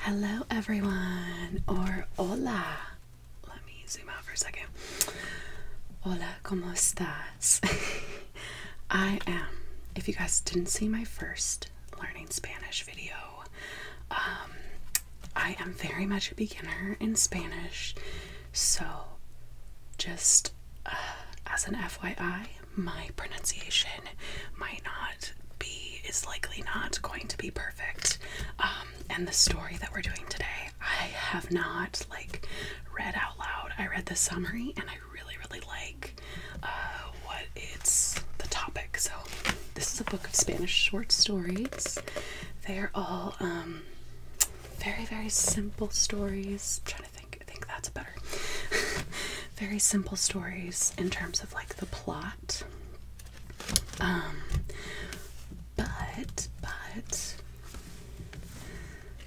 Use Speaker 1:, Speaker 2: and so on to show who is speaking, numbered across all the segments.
Speaker 1: Hello, everyone, or hola. Let me zoom out for a second. Hola, ¿cómo estás? I am, if you guys didn't see my first learning Spanish video, um, I am very much a beginner in Spanish, so just uh, as an FYI, my pronunciation might not be is likely not going to be perfect. Um, and the story that we're doing today, I have not like read out loud. I read the summary and I really, really like uh, what it's the topic. So this is a book of Spanish short stories. They're all um, very, very simple stories. I'm trying to think. I think that's better. very simple stories in terms of like the plot. Um, but, but,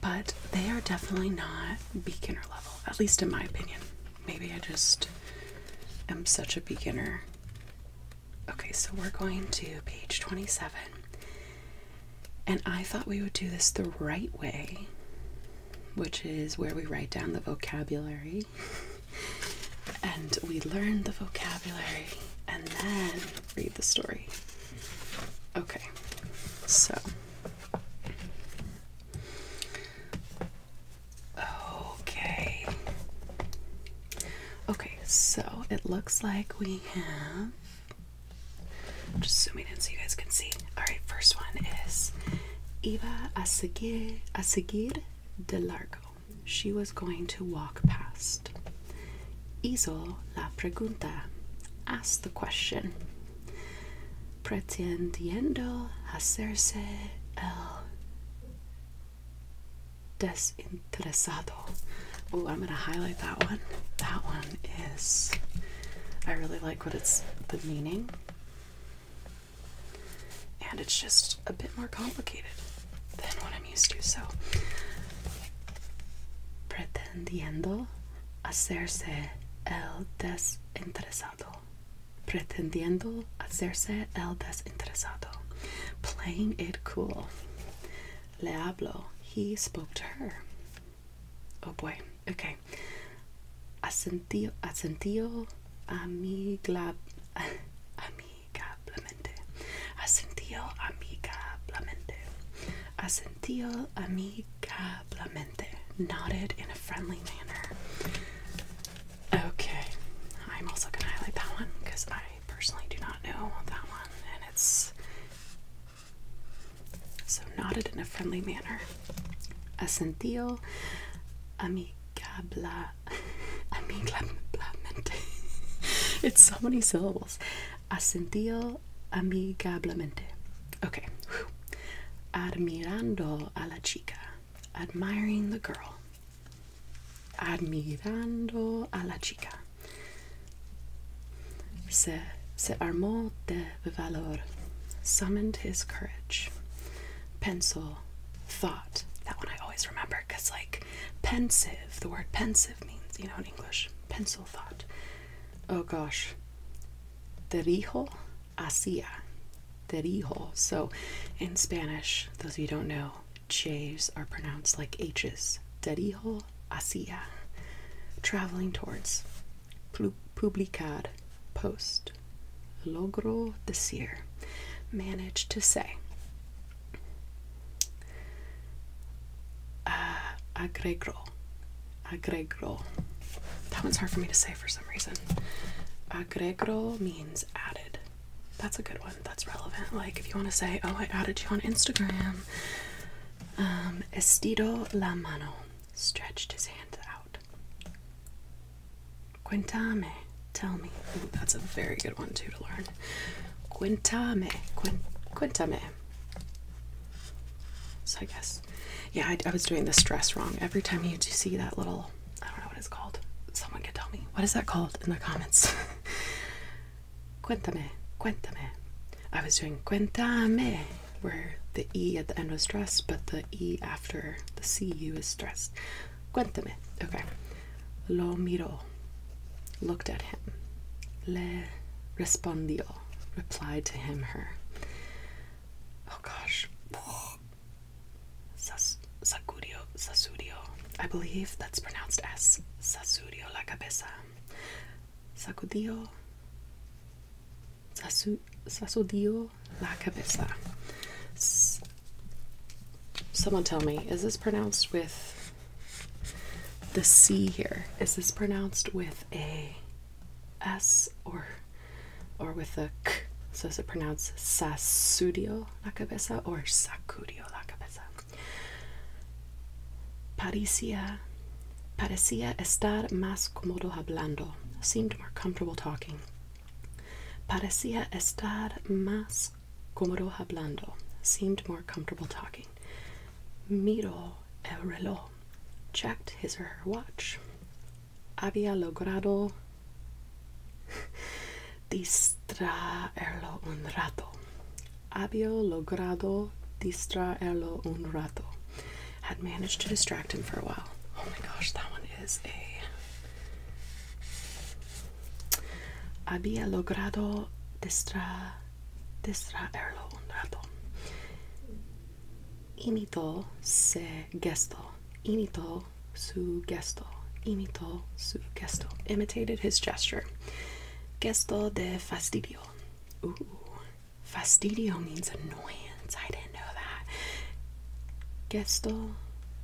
Speaker 1: but they are definitely not beginner level, at least in my opinion. Maybe I just am such a beginner. Okay, so we're going to page 27. And I thought we would do this the right way, which is where we write down the vocabulary and we learn the vocabulary and then read the story. Okay, so. Okay. Okay, so it looks like we have. I'm just zooming in so you guys can see. Alright, first one is iba a seguir, a seguir de largo. She was going to walk past. Hizo la pregunta. Asked the question. Pretendiendo hacerse el desinteresado. Oh, I'm going to highlight that one. That one is. I really like what it's the meaning and it's just a bit more complicated than what I'm used to. So, pretendiendo hacerse el desinteresado. Pretendiendo hacerse el desinteresado. Playing it cool. Le hablo. He spoke to her. Oh boy. Okay. Asentio, asentio amigla, amigablemente. Asentio amigablemente. Asentio amigablemente. Nodded in a friendly manner. Okay. I'm also going to highlight that one because I personally do not know that one. And it's so nodded in a friendly manner. asentio amigabla, amigablemente. it's so many syllables. Asentió amigablemente. Okay. Admirando a la chica. Admiring the girl. Admirando a la chica. se armó de valor, summoned his courage. Pencil, thought. That one I always remember because, like, pensive, the word pensive means, you know, in English, pencil thought. Oh gosh. Dirijo hacia. Dirijo. So in Spanish, those of you don't know, J's are pronounced like H's. Dirijo hacia. Traveling towards publicar, post. Logro decir, manage to say. Uh, agregro, agregro. That one's hard for me to say for some reason. Agregro means added. That's a good one. That's relevant. Like if you want to say, "Oh, I added you on Instagram." Um, estido la mano, stretched his hand out. Quintame, tell me. that's a very good one too to learn. Quintame, quin, quintame. So I guess, yeah, I, was doing the stress wrong. Every time you see that little, I don't know what it's called. Someone can tell me what is that called in the comments. Quintame, quintame. I was doing quintame where the E at the end was stressed, but the E after the CU is stressed. Cuéntame. Okay. Lo miró. Looked at him. Le respondió. Replied to him, her. Oh gosh. Sas sacudió. Sasudio. I believe that's pronounced as Sasudio la cabeza. Sacudió. Sasu, sacudió la cabeza. Someone tell me, is this pronounced with the C here? Is this pronounced with a S or or with a K? So is it pronounced sasudio la cabeza or sacudio la cabeza? Paricia Parecía estar más cómodo hablando. Seemed more comfortable talking. Parecía estar más cómodo hablando. Seemed more comfortable talking. Miró el reloj. Checked his or her watch. Había logrado distraerlo un rato. Había logrado distraerlo un rato had managed to distract him for a while. Oh my gosh, that one is a. Había logrado distra, distraerlo un rato. Imitó se gesto. Imitó su gesto. Imitó su gesto. Imitated his gesture. Gesto de fastidio. Ooh. Fastidio means annoyance. I didn't know that. Gesto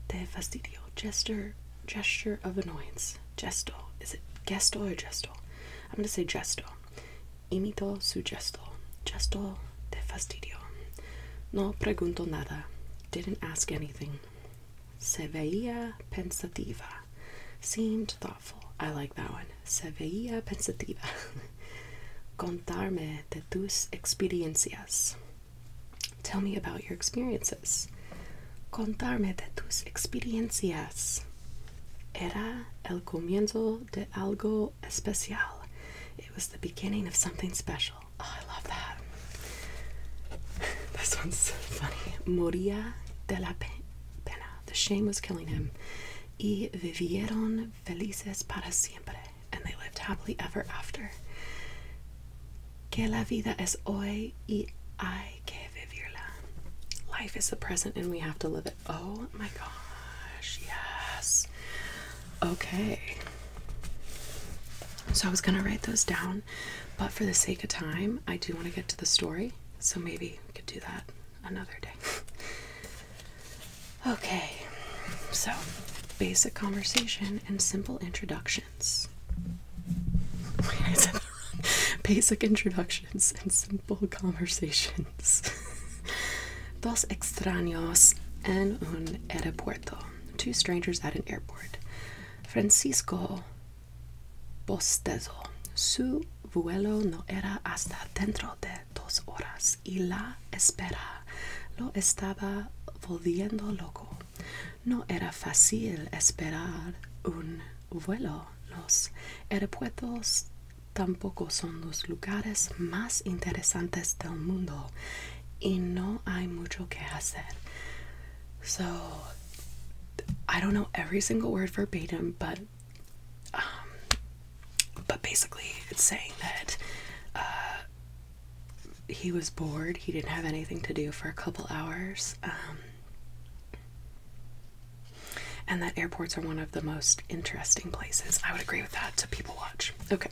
Speaker 1: de fastidio. Gesture, gesture of annoyance. Gesto. Is it gesto or gesto? I'm going to say gesto. Imito su gesto. Gesto de fastidio. No pregunto nada. Didn't ask anything. Se veía pensativa. Seemed thoughtful. I like that one. Se veía pensativa. Contarme de tus experiencias. Tell me about your experiences. Contarme de tus experiencias. Era el comienzo de algo especial. It was the beginning of something special. Oh, I love that. this one's funny. Moría de la pena. The shame was killing him. Y vivieron felices para siempre, and they lived happily ever after. Que la vida es hoy y hay que vivirla. Life is the present and we have to live it. Oh my gosh, yes. Okay. So I was going to write those down, but for the sake of time, I do want to get to the story. So maybe we could do that another day. okay, so basic conversation and simple introductions. Basic introductions and simple conversations. Dos extraños en un aeropuerto. Two strangers at an airport. Francisco Bostezo. Su vuelo no era hasta dentro de dos horas y la espera lo estaba volviendo loco. No era fácil esperar un vuelo. Los aeropuertos tampoco son los lugares más interesantes del mundo y no hay mucho que hacer. So, I don't know every single word verbatim, but Um, but basically, it's saying that uh, he was bored, he didn't have anything to do for a couple hours, um, and that airports are one of the most interesting places. I would agree with that So, people watch. Okay.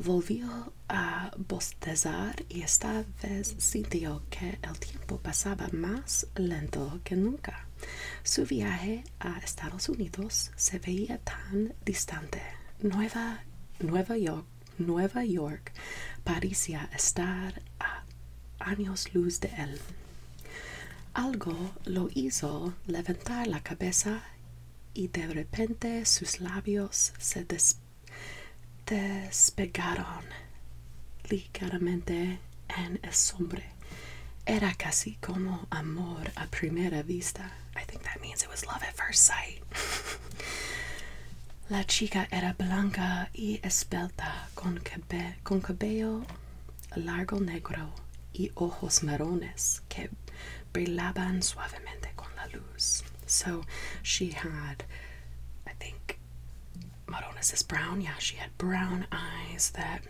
Speaker 1: Volvió a bostezar y esta vez sintió que el tiempo pasaba más lento que nunca. Su viaje a Estados Unidos se veía tan distante. Nueva, Nueva York, Nueva York parecía estar a años luz de él. Algo lo hizo levantar la cabeza y de repente sus labios se despegaron ligeramente en el sombra Era casi como amor a primera vista. I think that means it was love at first sight. La chica era blanca y esbelta, con cabello largo negro y ojos marrones que brillaban suavemente con la luz. So she had, I think, marrones is brown. Yeah, she had brown eyes that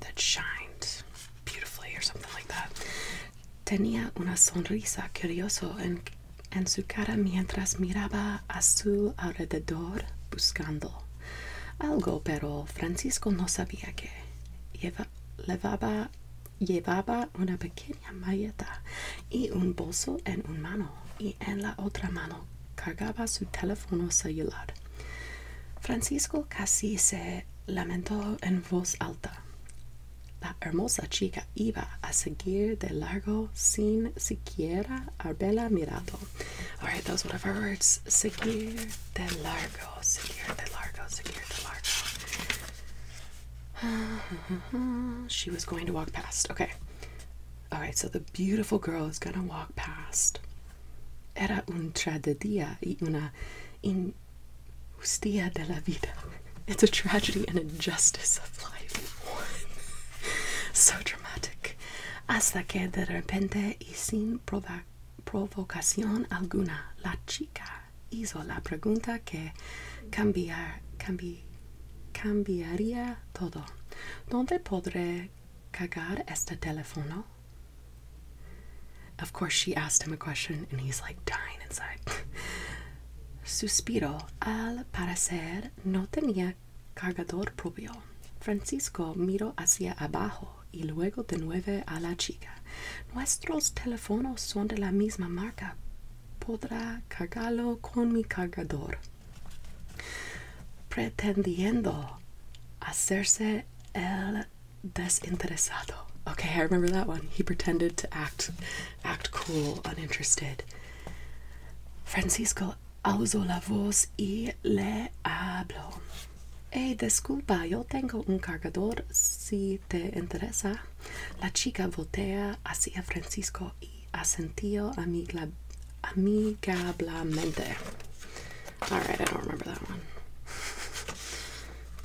Speaker 1: that shined beautifully or something like that. Tenía una sonrisa curiosa en, su cara mientras miraba a su alrededor buscando algo, pero Francisco no sabía que llevaba una pequeña maleta y un bolso en una mano y en la otra mano cargaba su teléfono celular. Francisco casi se lamentó en voz alta. La hermosa chica iba a seguir de largo sin siquiera haberla mirado. Alright, those were our words. Seguir de largo, seguir de largo, seguir de largo. she was going to walk past. Okay. Alright, so the beautiful girl is going to walk past. Era una tragedia y una injusticia de la vida. It's a tragedy and de of life. so dramatic. Hasta que de repente y sin provocación alguna, la chica hizo la pregunta que cambiaría todo. ¿Dónde podré cagar este teléfono? Of course, she asked him a question and he's like dying inside. Suspiro. Al parecer no tenía cargador propio. Francisco miró hacia abajo y luego de nuevo a la chica. Nuestros teléfonos son de la misma marca. Podrá cargarlo con mi cargador. Pretendiendo hacerse el desinteresado. Okay, I remember that one. He pretended to act act cool, uninterested. Francisco uso la voz y le hablo. Hey, disculpa, yo tengo un cargador si te interesa. La chica voltea hacia Francisco y asentió amigablemente. Alright, I don't remember that one.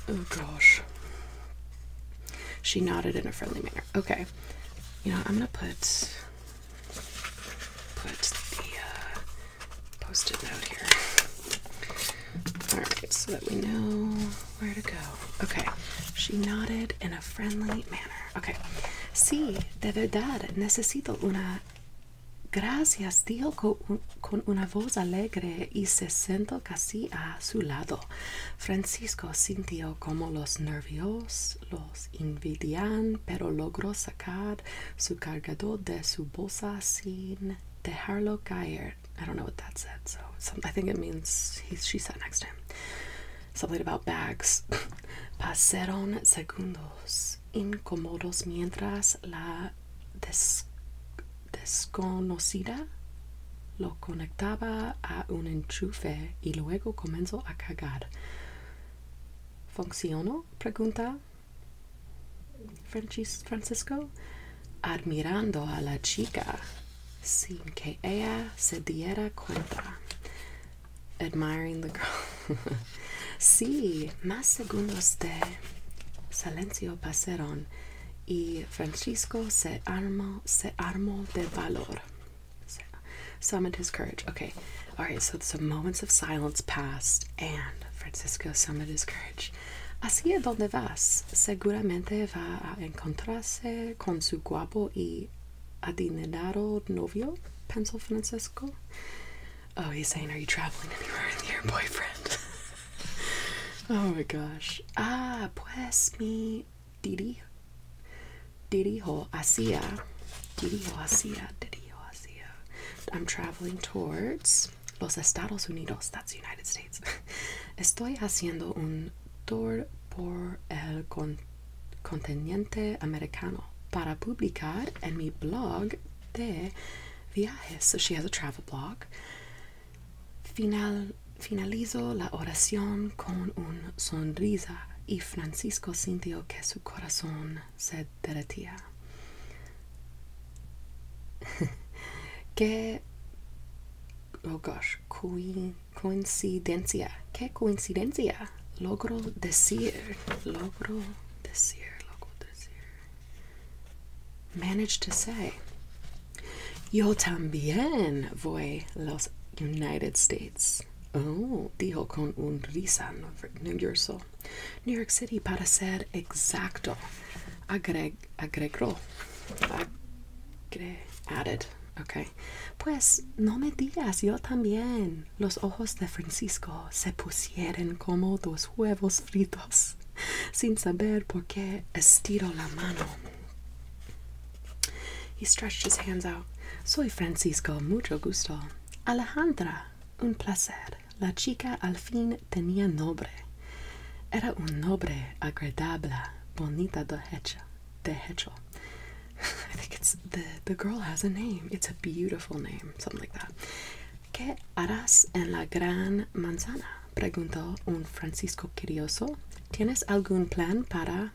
Speaker 1: Oh gosh. She nodded in a friendly manner. Okay. You know, I'm gonna put put the uh, post-it note here. Alright, so that we know where to go. Okay. She nodded in a friendly manner. Okay. Sí, de verdad necesito una Gracias, dijo con, una voz alegre y se sentó casi a su lado. Francisco sintió como los nervios los invidian, pero logró sacar su cargador de su bolsa sin dejarlo caer. I don't know what that said, so I think it means he, she sat next to him. Something about bags. Pasaron segundos incómodos mientras la desconocida lo conectaba a un enchufe y luego comenzó a cagar. ¿Funcionó? pregunta Francisco, admirando a la chica sin que ella se diera cuenta. admiring the girl. sí, más segundos de silencio pasaron y Francisco se armó, se armó de valor. summoned his courage. Okay, all right, so some moments of silence passed and Francisco summoned his courage. Así es donde vas. Seguramente va a encontrarse con su guapo y adinerado novio, pensó Francisco. Oh, he's saying, Are you traveling anywhere with your boyfriend? oh my gosh. Ah, pues mi didi. Dirijo hacia. Dirijo hacia. Dirijo hacia. I'm traveling towards Los Estados Unidos. That's the United States. Estoy haciendo un tour por el con continente americano. para publicar en mi blog de viajes. So she has a travel blog. finalizo la oración con un sonrisa y Francisco sintió que su corazón se derretía. qué oh gosh, coincidencia, qué coincidencia logro decir, logro decir, logro decir. Manage to say. Yo también voy los United States. Oh, dijo con un risa New York City para ser exacto. Agreg agregó. Agre added. Okay. Pues no me digas, yo también los ojos de Francisco se pusieron como dos huevos fritos, sin saber por qué estiró la mano. He stretched his hands out. Soy Francisco, mucho gusto. Alejandra, un placer. La chica al fin tenía nombre. Era un nombre agradable, bonita de hecho. De hecho, I think it's the the girl has a name. It's a beautiful name, something like that. ¿Qué harás en la gran manzana? Preguntó un Francisco curioso. ¿Tienes algún plan para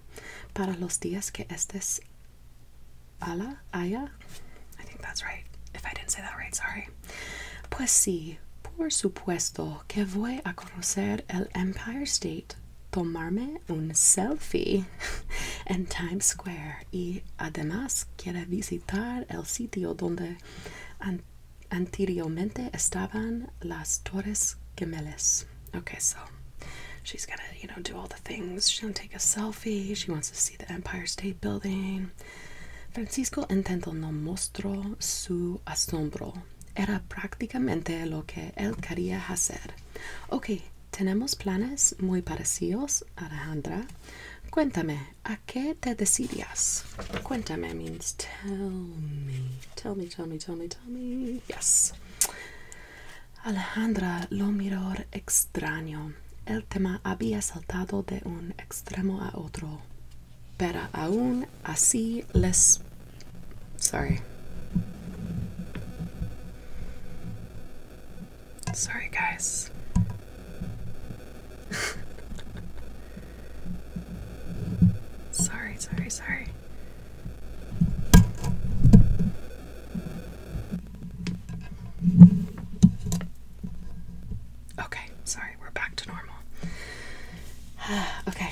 Speaker 1: para los días que estés a I think that's right. If I didn't say that right, sorry. Pues sí, por supuesto que voy a conocer el Empire State, tomarme un selfie in Times Square y además quiere visitar el sitio donde anteriormente estaban las torres gemelas. Okay, so she's gonna, you know, do all the things. She's gonna take a selfie. She wants to see the Empire State Building. Francisco intentó no mostrar su asombro. Era prácticamente lo que él quería hacer. Okay, tenemos planes muy parecidos, Alejandra. Cuéntame, ¿a qué te decidías? Cuéntame means tell me. Tell me, tell me, tell me, tell me. Yes. Alejandra lo miró extraño. El tema había saltado de un extremo a otro. Pero aún así les... Sorry. Sorry, guys. sorry, sorry, sorry. Okay, sorry, we're back to normal. okay.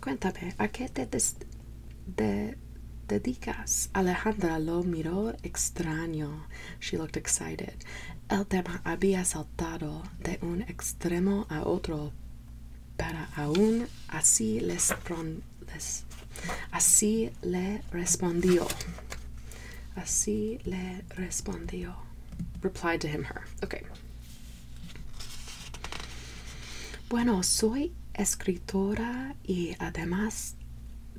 Speaker 1: Cuéntame, ¿a qué te dedicas? Alejandra lo miró extraño. She looked excited. El tema había saltado de un extremo a otro, Para aún así les, así le respondió. Así le respondió. Replied to him, her. Okay. Bueno, soy escritora y además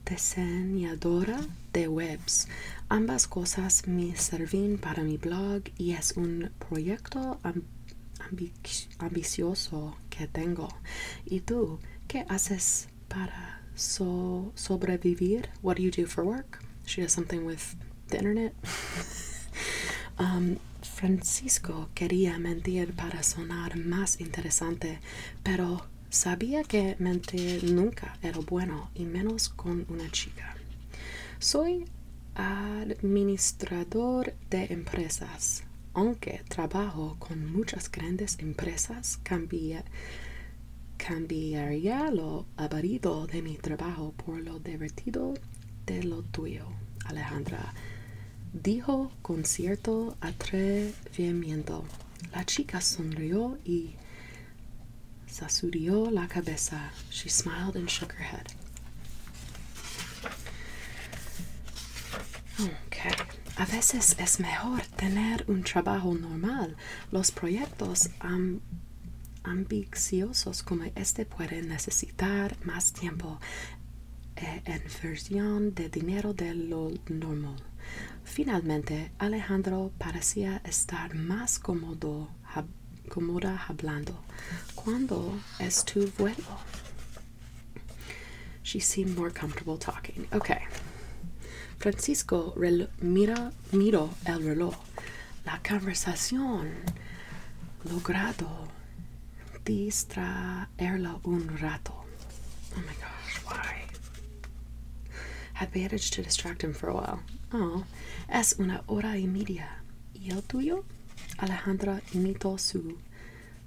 Speaker 1: diseñadora de webs. Ambas cosas me sirven para mi blog y es un proyecto ambicioso que tengo. ¿Y tú qué haces para sobrevivir? What do you do for work? She has something with ¿De internet. Um, Francisco quería mentir para sonar más interesante, pero sabía que mentir nunca era bueno y menos con una chica. Soy administrador de empresas. Aunque trabajo con muchas grandes empresas, cambiaría lo aburrido de mi trabajo por lo divertido de lo tuyo, Alejandra, dijo con cierto atrevimiento. La chica sonrió y sacudió la cabeza. She smiled and shook her head. Okay. A veces es mejor tener un trabajo normal. Los proyectos han ambiciosos como este pueden necesitar más tiempo eh, en versión de dinero de lo normal. Finalmente, Alejandro parecía estar más cómodo, hablando. cuando es tu vuelo? She seemed more comfortable talking. Okay. Francisco mira, Miro el reloj la conversación, logrado distraerla un rato. Oh my gosh, why? Had managed to distract him for a while. Oh, es una hora y media. ¿Y el tuyo? Alejandra imitó su,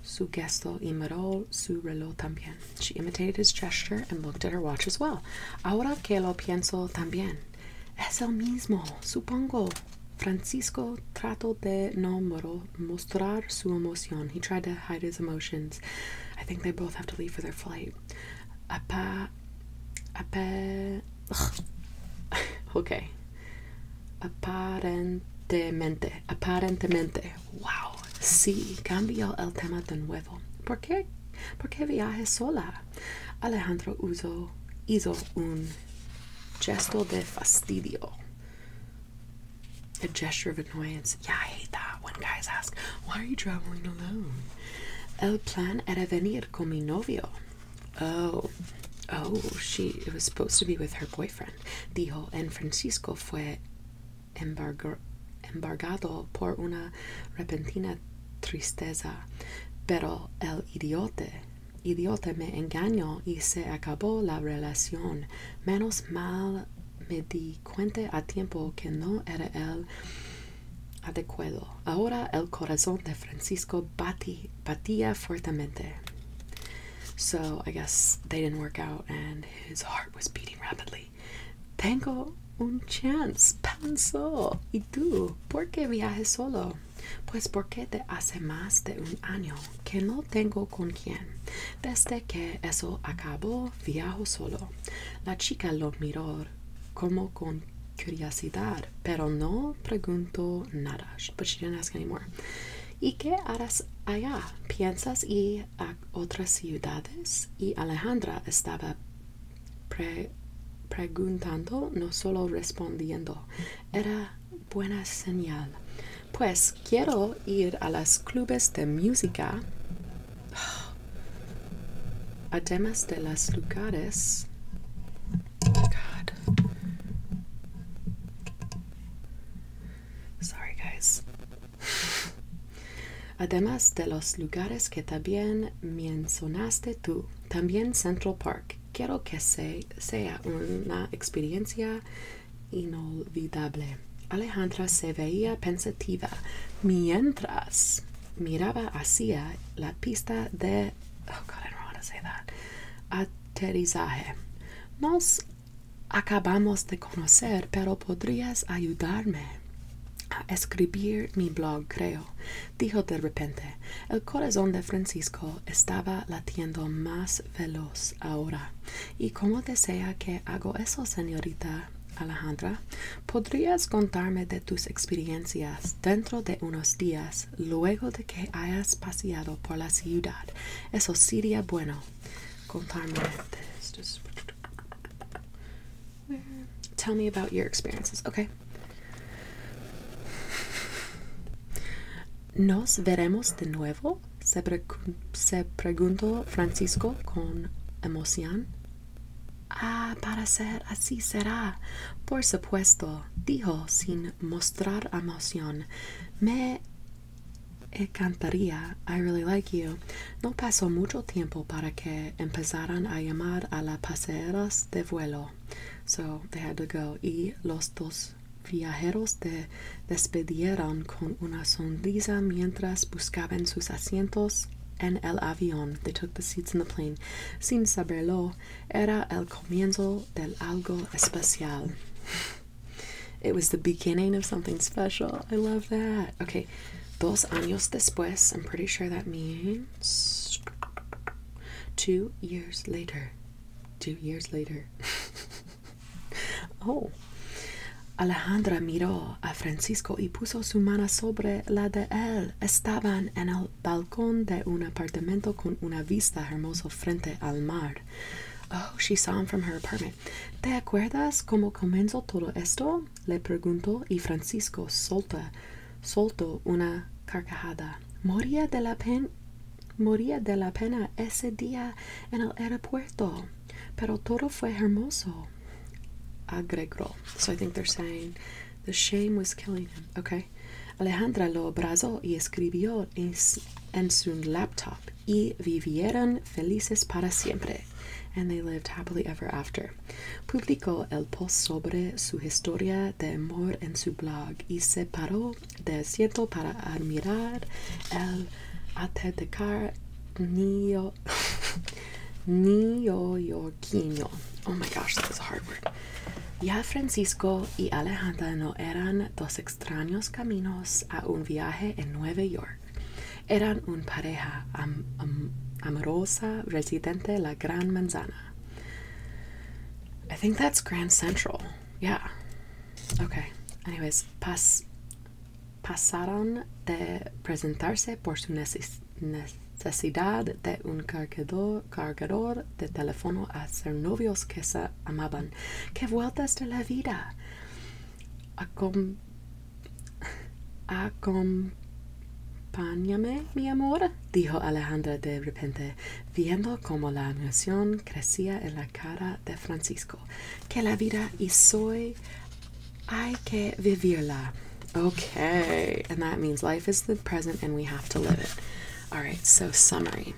Speaker 1: su gesto y miró su reloj también. She imitated his gesture and looked at her watch as well. Ahora que lo pienso también. Es el mismo, supongo. Francisco trató de no mostrar su emoción. He tried to hide his emotions. I think they both have to leave for their flight. Apa, apa, okay. Aparentemente, aparentemente. Wow. Sí, cambió el tema de nuevo. ¿Por qué? ¿Por qué viaje sola? Alejandro uso, hizo un in gesto de fastidio. A gesture of annoyance. Yeah, I hate that when guys ask, why are you traveling alone? El plan era venir con mi novio. Oh, oh, she it was supposed to be with her boyfriend. Dijo, en Francisco fue embargado por una repentina tristeza. Pero el idiote idiote me engañó y se acabó la relación. Menos mal me di cuenta a tiempo que no era el adecuado. Ahora el corazón de Francisco batía fuertemente. So I guess they didn't work out and his heart was beating rapidly. Tengo un chance, pensó. ¿Y tú? ¿Por qué viajes solo? pues porque te hace más de un año que no tengo con quién. Desde que eso acabó, viajo solo. La chica lo miró como con curiosidad, pero no preguntó nada. ¿Y qué harás allá? ¿Piensas ir a otras ciudades? Y Alejandra estaba preguntando, no solo respondiendo. Era buena señal. Pues quiero ir a los clubes de música, además de los lugares. Además de los lugares que también mencionaste tú, también Central Park. Quiero que sea una experiencia inolvidable. Alejandra se veía pensativa mientras miraba hacia la pista de oh, aterrizaje. Nos acabamos de conocer, pero podrías ayudarme a escribir mi blog, creo dijo de repente el corazón de francisco estaba latiendo más veloz ahora y cómo desea que hago eso señorita alejandra podrías contarme de tus experiencias dentro de unos días luego de que hayas paseado por la ciudad eso sería bueno contarme de estos where tell me about your experiences okay nos veremos de nuevo se, preguntó francisco con emoción ah para ser así será por supuesto dijo sin mostrar emoción me encantaría. I really like you. No pasó mucho tiempo para que empezaran a llamar a las pasajeras de vuelo. So they had to go. Y los dos viajeros de despidieron con una sonrisa mientras buscaban sus asientos en el avión. They took the seats in the plane. Sin saberlo, era el comienzo del algo especial. It was the beginning of something special. I love that. Okay, dos años después. I'm pretty sure that means Two years later. Two years later. oh. Alejandra miró a Francisco y puso su mano sobre la de él. Estaban en el balcón de un apartamento con una vista hermosa frente al mar. Oh, she saw him from her apartment. ¿Te acuerdas cómo comenzó todo esto? le preguntó y Francisco solta, soltó una carcajada. Moría de la pena moría de la pena ese día en el aeropuerto. Pero todo fue hermoso. Agregó. So I think they're saying the shame was killing him. Okay. Alejandra lo abrazó y escribió en, su laptop y vivieron felices para siempre. And they lived happily ever after. Publicó el post sobre su historia de amor en su blog y se paró de asiento para admirar el atardecer niño neoyorquino. Oh my gosh, that is a hard word. Ya Francisco y Alejandra no eran dos extraños caminos a un viaje en Nueva York. Eran un pareja amorosa residente Gran Manzana. I think that's Grand Central. Yeah. Okay. Anyways, pas pasaron de presentarse por su necesidad de un cargador, cargador de teléfono a ser novios que se amaban. ¡Qué vueltas de la vida! Acom Acompáñame, mi amor, dijo Alejandra de repente, viendo cómo la emoción crecía en la cara de Francisco. Que la vida y soy, hay que vivirla. Okay, and that means life is the present and we have to live it. All right, so summary.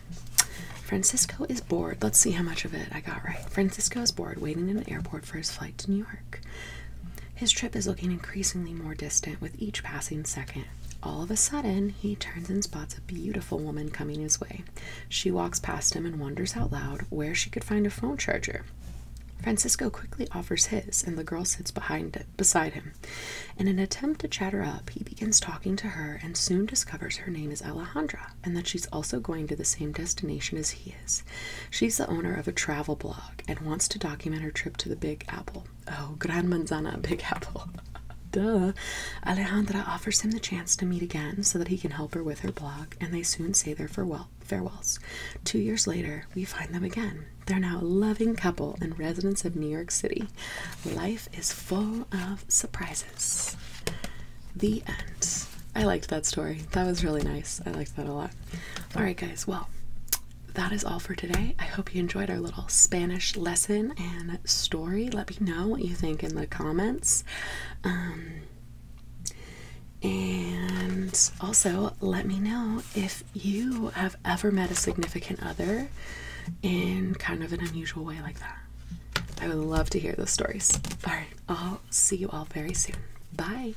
Speaker 1: Francisco is bored. Let's see how much of it I got right. Francisco is bored, waiting in the airport for his flight to New York. His trip is looking increasingly more distant with each passing second. All of a sudden, he turns and spots a beautiful woman coming his way. She walks past him and wonders out loud where she could find a phone charger. Francisco quickly offers his, and the girl sits behind it, beside him. In an attempt to chat her up, he begins talking to her and soon discovers her name is Alejandra and that she's also going to the same destination as he She's the owner of a travel blog and wants to document her trip to the Big Apple. Oh, Gran Manzana, Big Apple. Duh. Alejandra offers him the chance to meet again so that he can help her with her blog, and they soon say their farewells. Two years later, we find them again. They're now a loving couple and residents of New York City. Life is full of surprises. The end. I liked that story. That was really nice. I liked that a lot. All right, guys. Well, that is all for today. I hope you enjoyed our little Spanish lesson and story. Let me know what you think in the comments. Um, and also, let me know if you have ever met a significant other in kind of an unusual way like that. I would love to hear those stories. All right, I'll see you all very soon. Bye.